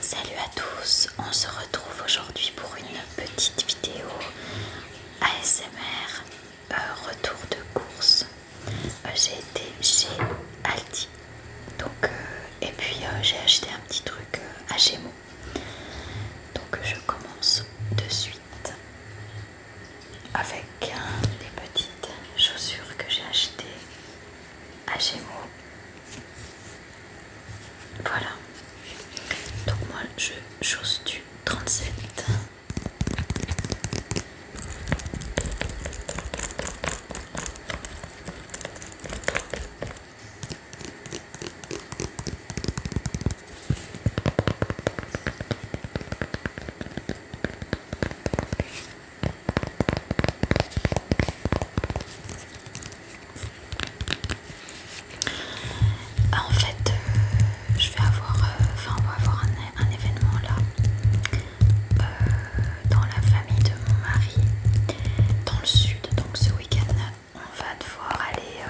Salut à tous, on se retrouve aujourd'hui pour une petite vidéo ASMR euh, retour de course. Euh, j'ai été chez Aldi donc, euh, et puis j'ai acheté un petit truc à Gémeaux. Donc je commence de suite avec des petites chaussures que j'ai achetées à Gémeaux voilà. Donc moi je chose du 37. Ah, en fait, euh, je vais avoir, euh, on va avoir un, événement là euh, dans la famille de mon mari, dans le sud. Donc ce week-end, on va devoir aller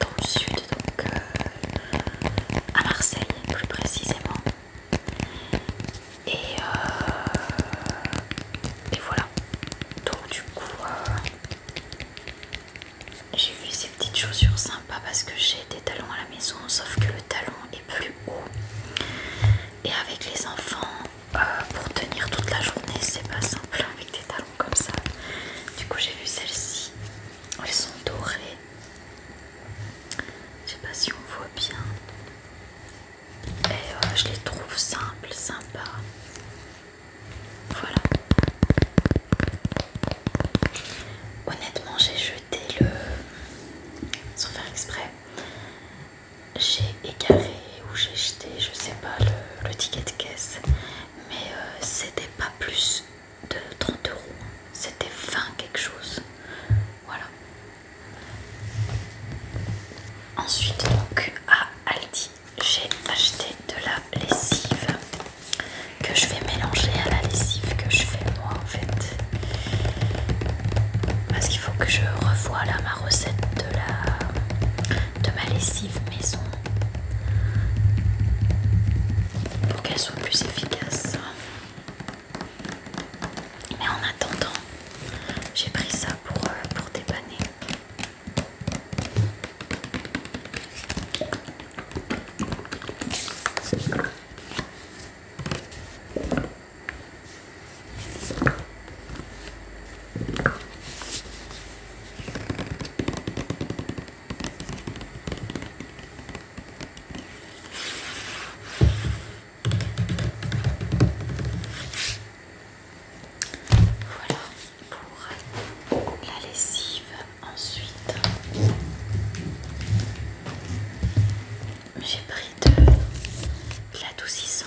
dans le sud, donc à Marseille plus précisément. Et, euh, et voilà. Donc du coup, euh, j'ai vu ces petites chaussures sympas parce que j'ai des talons à la maison, sauf que le talon est plus haut. Et avec les enfants, euh, pour tenir toute la journée, c'est pas simple avec des talons comme ça. Du coup, j'ai vu celles-ci. Elles sont dorées. Je sais pas si on voit bien. Et je les trouve simples, sympas. Voilà. Honnêtement, j'ai jeté le. Sans faire exprès, j'ai égaré ou j'ai jeté, je sais pas, le, ticket de caisse. Mais euh, c'était pas plus de 30 euros, c'était 20 quelque chose. Voilà. Ensuite, donc à Aldi, j'ai acheté de la lessive que je vais mélanger à la lessive que je fais moi en fait. Parce qu'il faut que je revoie là ma recette de, la, de ma lessive maison pour qu'elle soit plus efficace. Mais en attendant, j'ai pris ça pour, euh, pour dépanner. Voilà pour la lessive. Ensuite, j'ai pris de l'adoucissant.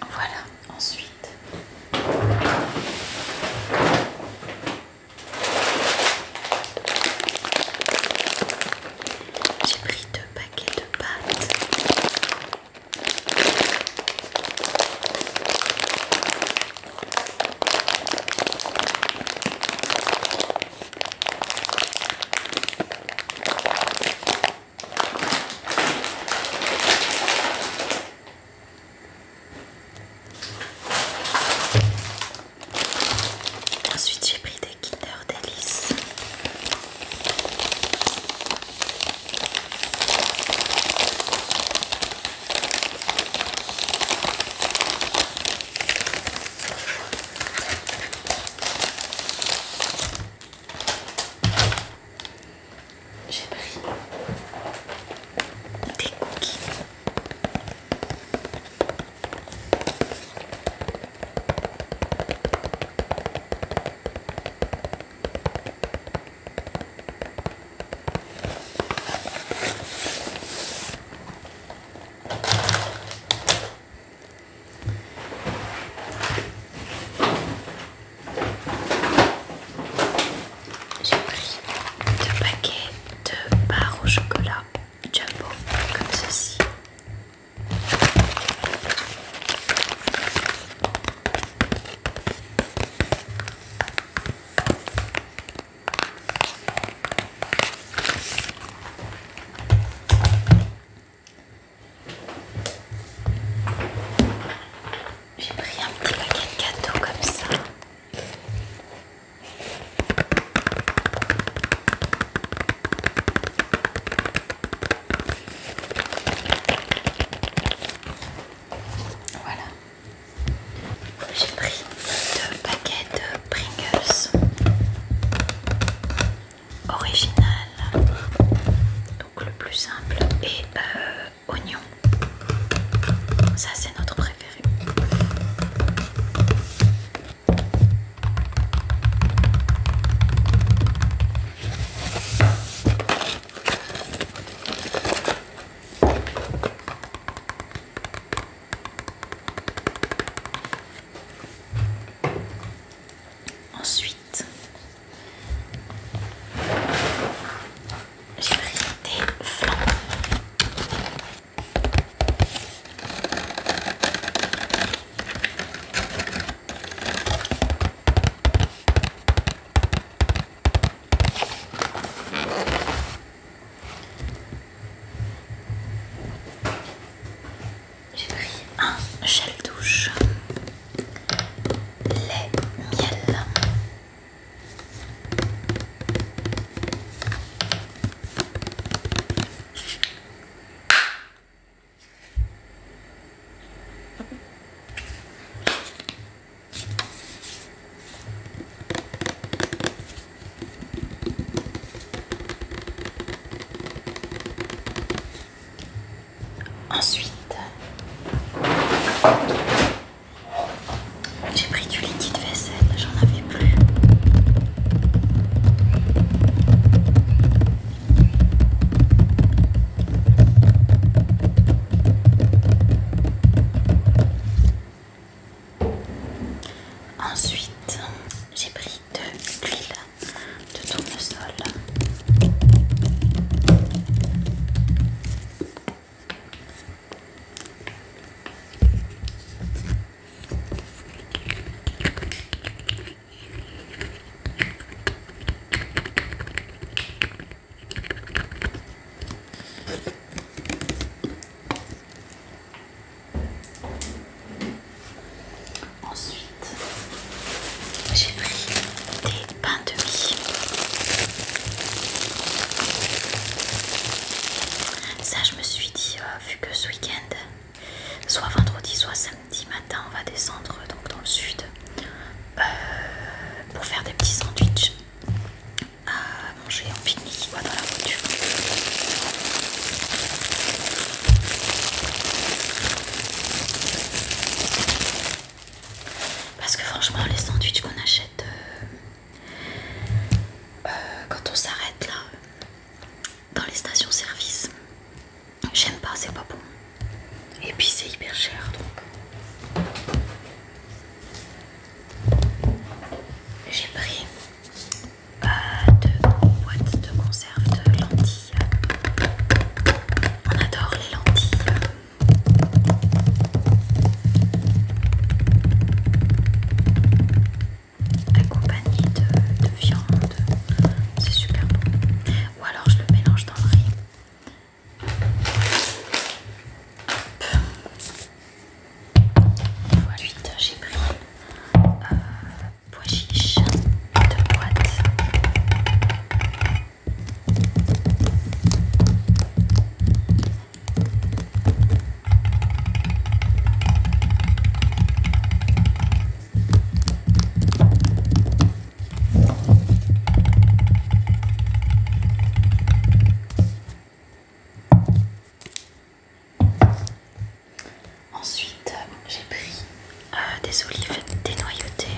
Voilà, ensuite. J'ai pris deux paquets de pâtes. Ensuite, j'ai pris des Kinder Delice. J'ai pris des cookies. J'ai pris deux paquets de barres au chocolat jumbo comme ceci. J'ai pris un petit paquet de gâteaux comme ça. Voilà. J'ai pris deux paquets de Pringles original, donc le plus simple, et euh, oignon. Ça, c'est notre préféré. Ensuite, j'ai pris des flancs. J'ai pris un gel douche, lait miel. Ensuite, j'ai pris du liquide vaisselle, j'en avais plus. Ensuite, j'ai pris de l'huile de tournesol. Ensuite, j'ai pris des pains de mie. Ça, je me suis dit, euh, vu que ce week-end, soit vendredi, soit samedi matin, on va descendre donc dans le sud euh, pour faire des petits sandwichs à manger en pique-nique dans la voiture. Parce que franchement, les sandwichs qu'on achète euh, euh, quand on s'arrête là, dans les stations-service, j'aime pas, c'est pas bon. Et puis c'est hyper cher donc. J'ai pris euh, deux boîtes de conserve de lentilles. On adore les lentilles. Accompagné de, de viande, c'est super bon. Ou alors je le mélange dans le riz. Fois hein, j'ai pris euh, de boîte. Ensuite, j'ai pris euh, des olives dénoyautées.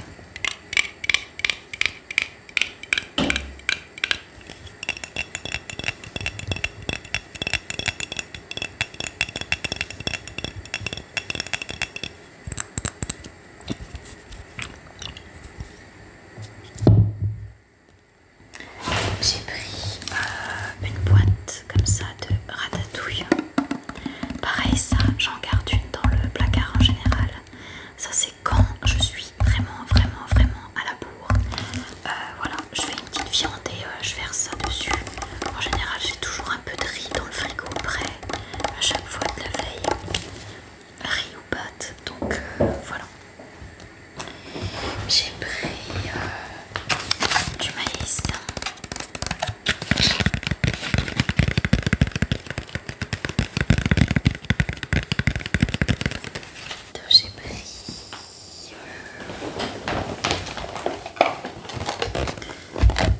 J'ai pris euh, une boîte comme ça de ratatouille. Pareil, ça, j'en garde une dans le placard en général. Ça, c'est quand je suis vraiment, vraiment, vraiment à la bourre. Euh, voilà, je fais une petite viande et euh, je verse ça dessus. En général, j'ai toujours un peu de riz dans le frigo prêt à chaque fois de la veille. Riz ou pâte, donc voilà. J'ai pris euh, du maïs. J'ai pris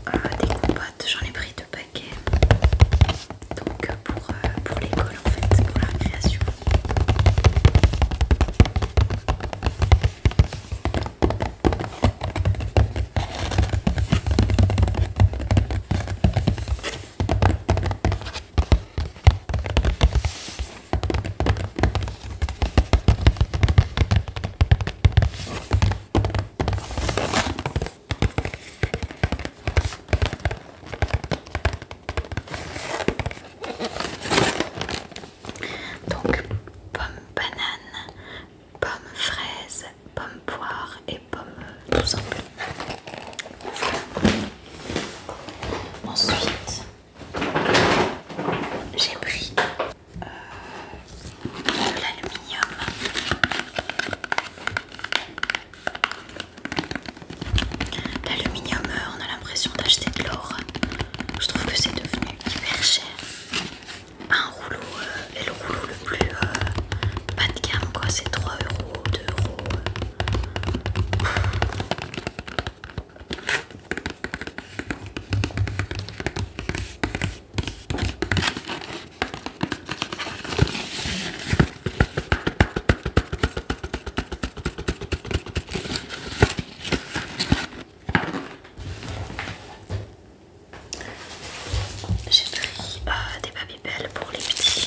euh, des compotes, j'en ai pris deux paquets donc euh, pour, euh, pour l'école en fait, pour la création. Donc pomme banane, pomme fraise, pomme poire et pomme tout simple. Ensuite, j'ai pris euh, de l'aluminium. L'aluminium, euh, on a l'impression d'acheter de l'or. Je trouve que c'est devenu hyper cher. Un rouleau, euh, et le rouleau le plus euh, bas de gamme, quoi, c'est 3 euros, 2 euros. J'ai pris euh, des papiers belles pour les petits.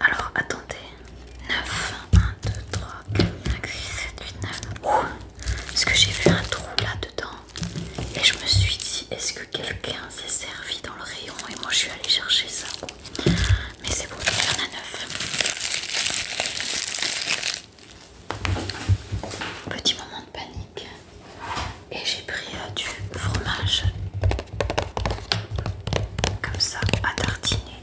Alors attendez. 9, 1, 2, 3, 4, 5, 6, 7, 8, 9. Ouh, parce que j'ai vu un trou là-dedans. Et je me suis dit, est-ce que quelqu'un s'est servi dans le rayon Et moi je suis allée chercher ça. Mais c'est bon, il y en a 9. Petit moment de panique. Et j'ai pris euh, du fromage comme ça à tartiner.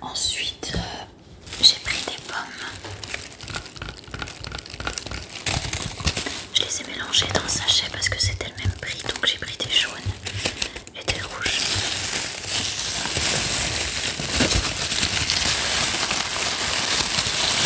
Ensuite, euh, j'ai pris des pommes. Je les ai mélangées dans un sachet parce que c'était le même prix, donc j'ai pris des jaunes et des rouges.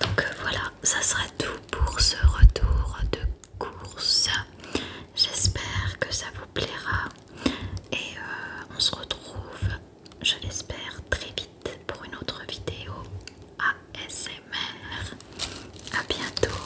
Donc euh, voilà, ça sera tout pour ce retour de course. J'espère que ça vous plaira et euh, on se retrouve, je l'espère, très vite pour une autre vidéo ASMR. À bientôt.